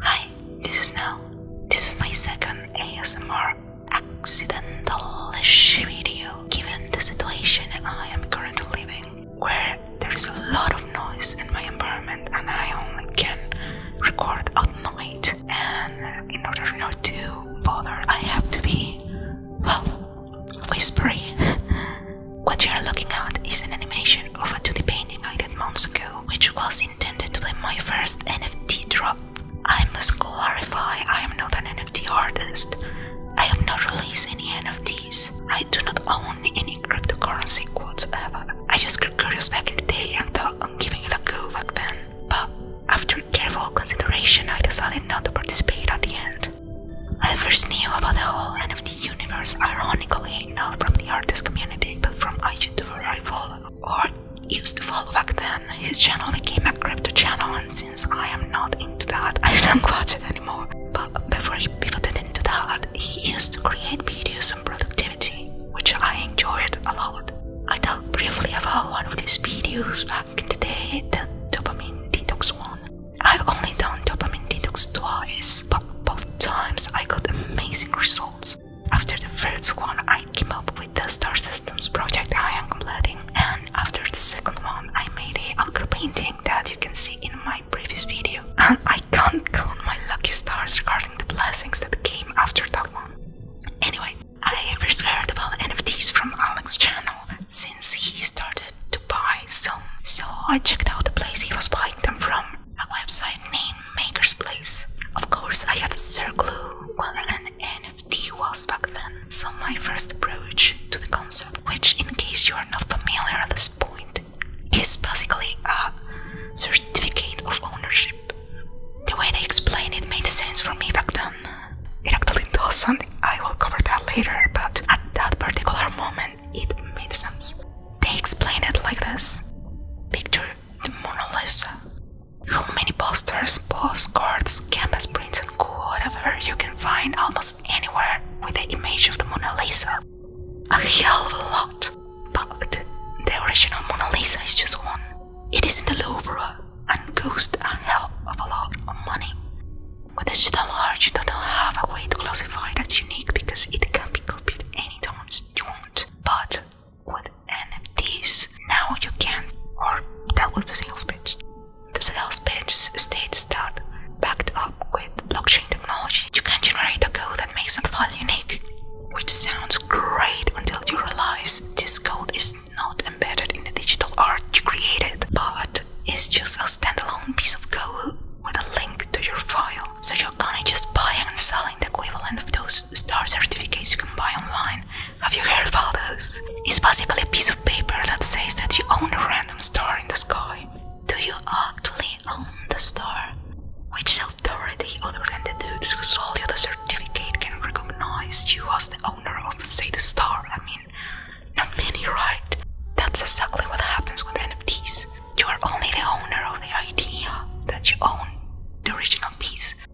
Hi, this is Nell. This is my second ASMR accidental video given the situation I am currently living, where there is a lot of noise in my environment and I only can record at night. And in order not to bother, I have to be, well, whispery. what you are looking at is an animation of a 2D painting I did months ago, which was intended to be my first NFT drop. I must clarify I am not an NFT artist. I have not released any NFTs. I do not own any cryptocurrency whatsoever. I just grew curious back in the day and thought I'm giving it a go back then. But after careful consideration, I decided not to participate at the end. I first knew about the whole NFT universe ironically not from the artist community but from a YouTuber I or used to follow back then. His channel became a crypto channel, and since I am not into that, I don't watch it anymore. But before he pivoted into that, he used to create videos on productivity, which I enjoyed a lot. I talked briefly about one of these videos back in the day, the dopamine detox one. I've only done dopamine detox twice, but both times I got amazing results. After the first one, I came up with the star systems project I am completing, and after the second one, I made a algar painting that you can see in my previous video. And I can't count my lucky stars regarding the blessings that came after that one. Anyway, I first heard about NFTs from Alex's channel since he started to buy some, so I checked out the place he was buying them from a website named Maker's Place. Of course, I had circled what an NFT was back then, so my first approach to the concept, which, in case you are not familiar at this point, is basically a certificate of ownership. The way they explained it made sense for me back then. It actually doesn't, I will cover that later, but at that particular moment, it made sense. They explained it like this Picture the Mona Lisa. How many posters, postcards, canvas prints, and whatever you can find almost anywhere with the image of the Mona Lisa? A hell of a lot! But the original Mona Lisa is just one. It is isn't the Louvre and costs a hell of a lot of money. With digital art, you don't have a way to classify that's unique because it can be copied any times you want. But with NFTs. Now you can, or that was the sales pitch. The sales pitch states that, backed up with blockchain technology, you can generate a code that makes that file unique. Which sounds great until you realize this code is not embedded in the digital art you created, but is just a standalone piece of code with a link to your file. So you're gonna just buy and selling the equivalent of those star certificates you can buy online. Have you heard about those? It's basically a piece of paper that says that you own a random star in the sky. Do you actually own the star? Which authority other than the dudes who sold you the certificate can recognize you as the owner of, say, the star? I mean, not many, right? That's exactly what happens with NFTs. You are only the owner of the idea that you own the original piece.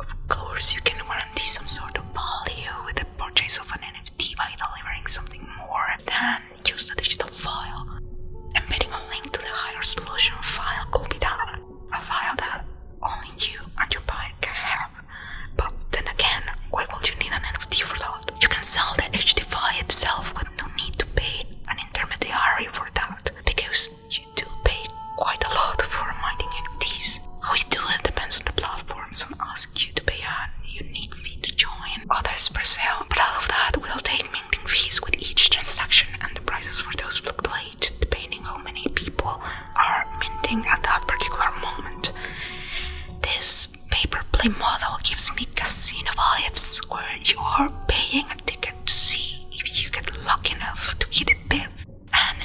Of course, you can guarantee some sort of value with the purchase of an NFT by delivering something more than just a digital file. Embedding a link to the higher resolution file could be a file that only you and your buyer can have. But then again, why would you need an NFT for that? You can sell the HD file itself with no need to pay an intermediary for that, because you do pay quite a lot for mining NFTs. How you do it depends on the platform. Some ask you to pay a unique fee to join, others per sale, but all of that will take minting fees with each transaction and the prices for those fluctuate depending how many people are minting at that particular moment. This paper play model gives me casino vibes where you are paying a ticket to see if you get lucky enough to hit a pip. And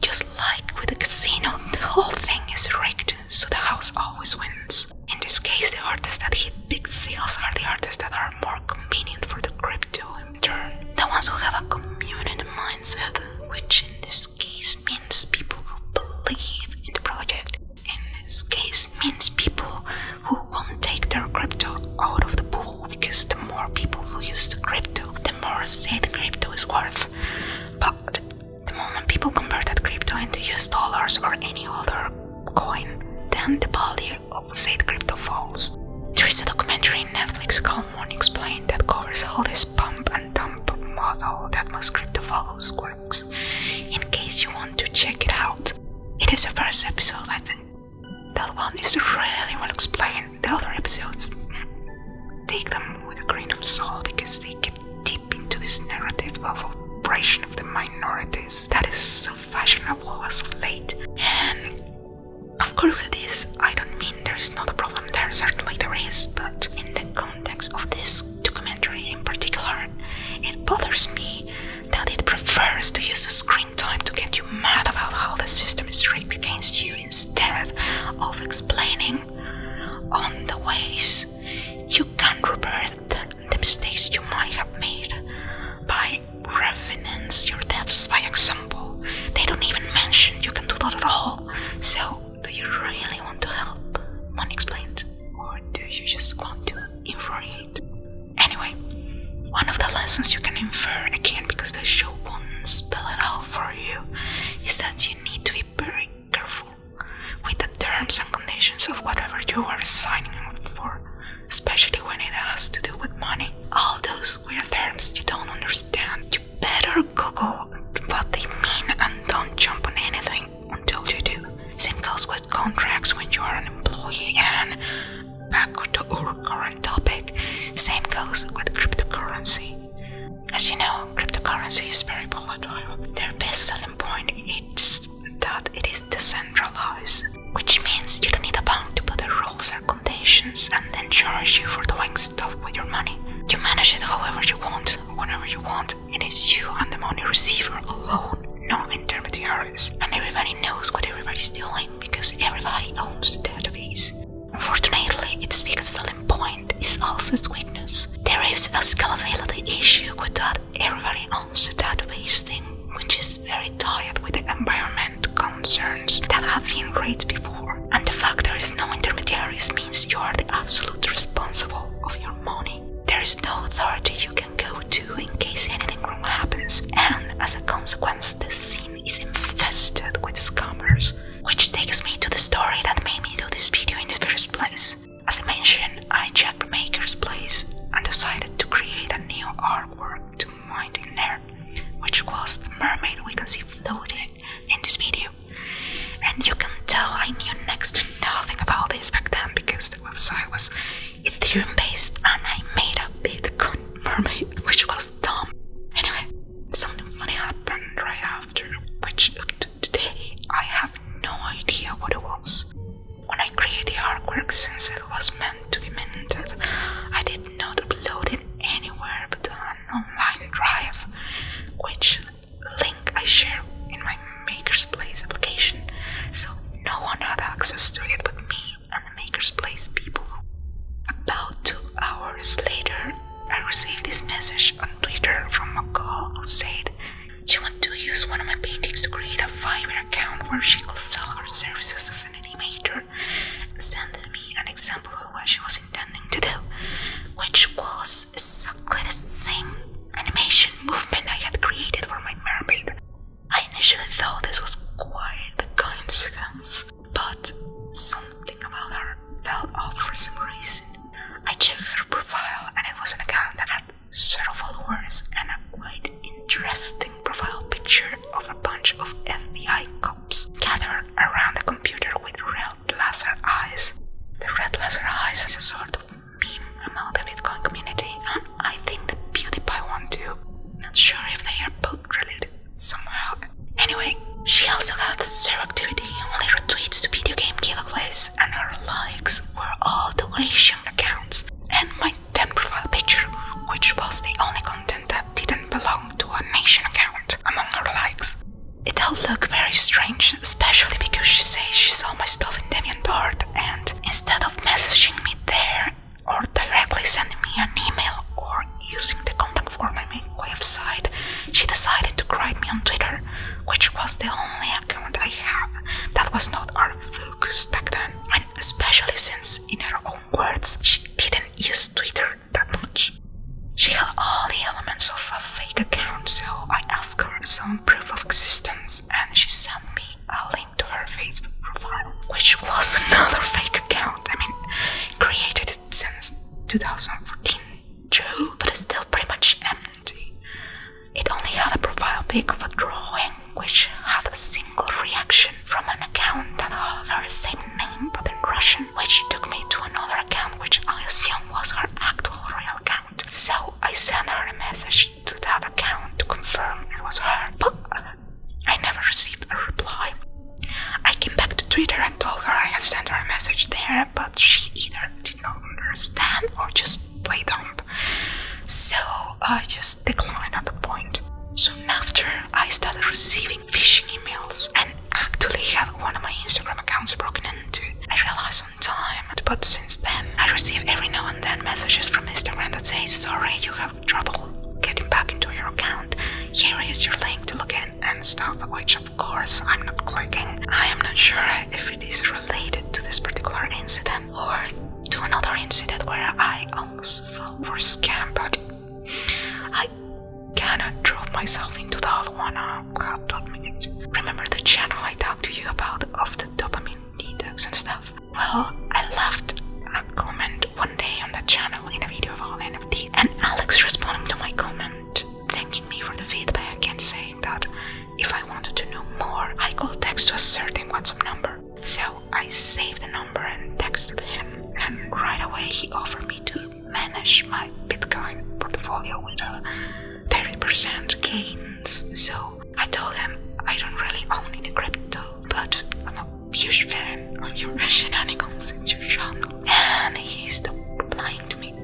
just like with the casino, the whole thing is rigged, so the house always wins. In this case, the artists that hit big sales are the artists that are more convenient for the crypto in turn. The ones who have a community mindset, which in this case means people who believe in the project. In this case means people who won't take their crypto out of the pool because the more people who use the crypto, the more said crypto is worth. But the moment people convert that crypto into US dollars or any other coin, then the value of said crypto falls. There is a documentary on Netflix called Morning Explained that covers all this pump and dump model that most crypto follows works. In case you want to check it out, it is the first episode I think that one is really well explained. The other episodes take them with a grain of salt because they get deep into this narrative of oppression of the minorities that is so fashionable as late. And of course it is. I don't mean there is not a problem there, certainly there is, but in the context of this documentary in particular, it bothers me that it prefers to use a screen time to get you mad about how the system is rigged against you instead of explaining on the ways you can reverse the mistakes you might have made by refinance your debts by example. They don't even mention you can do that at all. So, do you really want to help? One explained. Or do you just want to infuriate? Anyway, one of the lessons you can infer again because the show won't spell it out for you is that you need to be very careful with the terms and conditions of whatever you are signing up for, especially when it has to do with money. All those weird terms you don't understand, you better Google what they mean and don't jump on anything until you do. Same goes with contracts when you are an employee and Back to our current topic, same goes with cryptocurrency. As you know, cryptocurrency is very volatile. Their best selling point is that it is decentralized, which means you don't need a bank to put the rules or conditions and then charge you for doing stuff with your money. You manage it however you want, whenever you want, it is you and the money receiver alone, no intermediaries, and everybody knows what everybody's doing because everybody owns the database. Unfortunately, its biggest selling point is also its weakness. There is a scalability issue with that everybody owns the database thing, which is very tied with the environment concerns that have been raised before. And the fact there is no intermediaries means you are the absolute responsible of your money. There is no authority you can go to in case anything wrong happens, and as a consequence, the scene is infested with scammers. Which takes me to the story that made me do this video in the first place. As I mentioned, I checked Maker's Place and decided to create a new artwork to mine in there, which was the mermaid we can see floating in this video. And you can tell I knew next to nothing about this back then because the website was Ethereum based and I made a Bitcoin mermaid, which was dumb. Anyway, something funny happened right after, which today I have no idea what it was. When I created the artwork, since it was meant to be minted, I did not upload it anywhere but on an online drive, which link I share in my Maker's Place application, so no one had access to it but me and Place people. About two hours later, I received this message on Twitter from a girl who said she wanted to use one of my paintings to create a Fiverr account where she could sell her services as an animator and sent me an example of what she was intending to do, which was exactly the same animation movement I had created for my mermaid. I initially thought this was quite the coincidence, but something about her fell off for some reason. I checked her profile and it was an account that had several followers and a quite interesting profile picture of a bunch of FBI cops gathered around a computer with red laser eyes. The red laser eyes is a sort of meme among the Bitcoin community and I think the PewDiePie one too. Not sure if they are both somehow. Anyway, she also got zero activity, only retweets to video game giveaways, and her likes were all to Asian accounts and my 10 profile picture, which was the only content that didn't belong to a nation account among her likes. It all looked very strange, especially because she says she saw my stuff in Deviantart and instead of messaging me there or directly sending me an email or using the contact form on my website, she decided to write me on Twitter, which was the only account I have that was not our focus back then, and especially since, in her own words, she didn't use Twitter that much. She had all the elements of a fake account, so I asked her some proof of existence and she sent me a link to her Facebook profile, which was another fake account. I mean, created since 2014 June, but it's still pretty much empty. It only had a profile pic of a drawing which had a single reaction from an account that had her same name but in Russian, which took me to another account which I assumed was her actual real account. So I sent her a message to that account to confirm it was her, I never received a reply. I came back to Twitter and told her I had sent her a message there, but she either did not understand or just played dumb. So I just declined at the point. Soon after, I started receiving phishing emails and actually have one of my Instagram accounts broken into. I realized on time, but since then, I receive every now and then messages from Instagram that say, sorry, you have trouble getting back into your account, here is your link to log in and stuff, which of course I'm not clicking. I am not sure if it is related to this particular incident or to another incident where I almost fell for scam, but I cannot drop myself into the other one. Oh, God, damn it. Remember the channel I talked to you about of the dopamine detox and stuff? Well, I left a comment one day on that channel in a video about NFT, and Alex responding to my comment, thanking me for the feedback and saying that if I wanted to know more, I could text to a certain WhatsApp number. So I saved the number and texted him, and right away he offered me to manage my Bitcoin portfolio with a 30% gains. So I told him I don't really own any crypto, but I'm a fan of your shenanigans in your channel, and he stopped replying to me.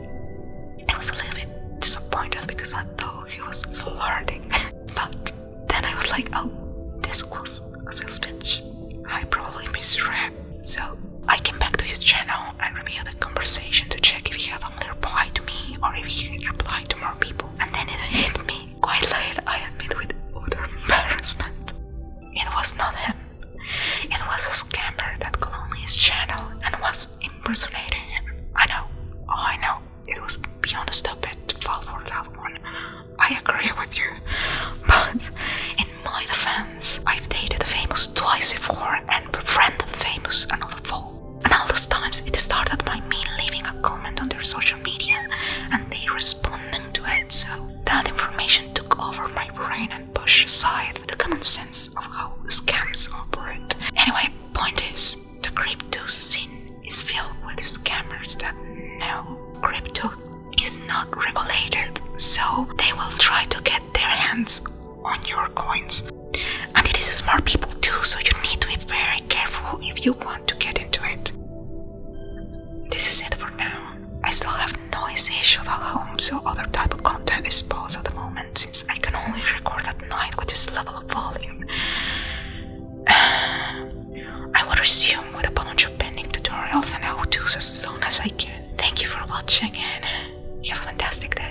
I was a little bit disappointed because I thought he was flirting, but then I was like, oh, this was a sales pitch. I probably misread. So I came back to his channel and reviewed the conversation to check if he had only replied to me or if he had replied to more people. And then it hit me. Quite late, I admit with utter embarrassment. It was not him. It was a scammer that cloned his channel and was impersonating him. I know, oh, I know, it was beyond a stupid to fall for loved one. I agree with you, but in my defense, I've dated famous twice before and befriended famous another fool. And all those times it started by me leaving a comment on their social media and they responding to it, so that information took over my brain and pushed aside the common sense of how scams operate. Anyway, point is, the crypto scene is filled with scammers that know crypto is not regulated, so they will try to get their hands on your coins. And it is smart people too, so you need to be very careful if you want to get into it. This is it for now. I still have noise issues at home, so other type of content is paused at the moment since I can only record at night with this level of volume. I will resume with a bunch of pending tutorials and how to's as soon as I can. Thank you for watching and have a fantastic day.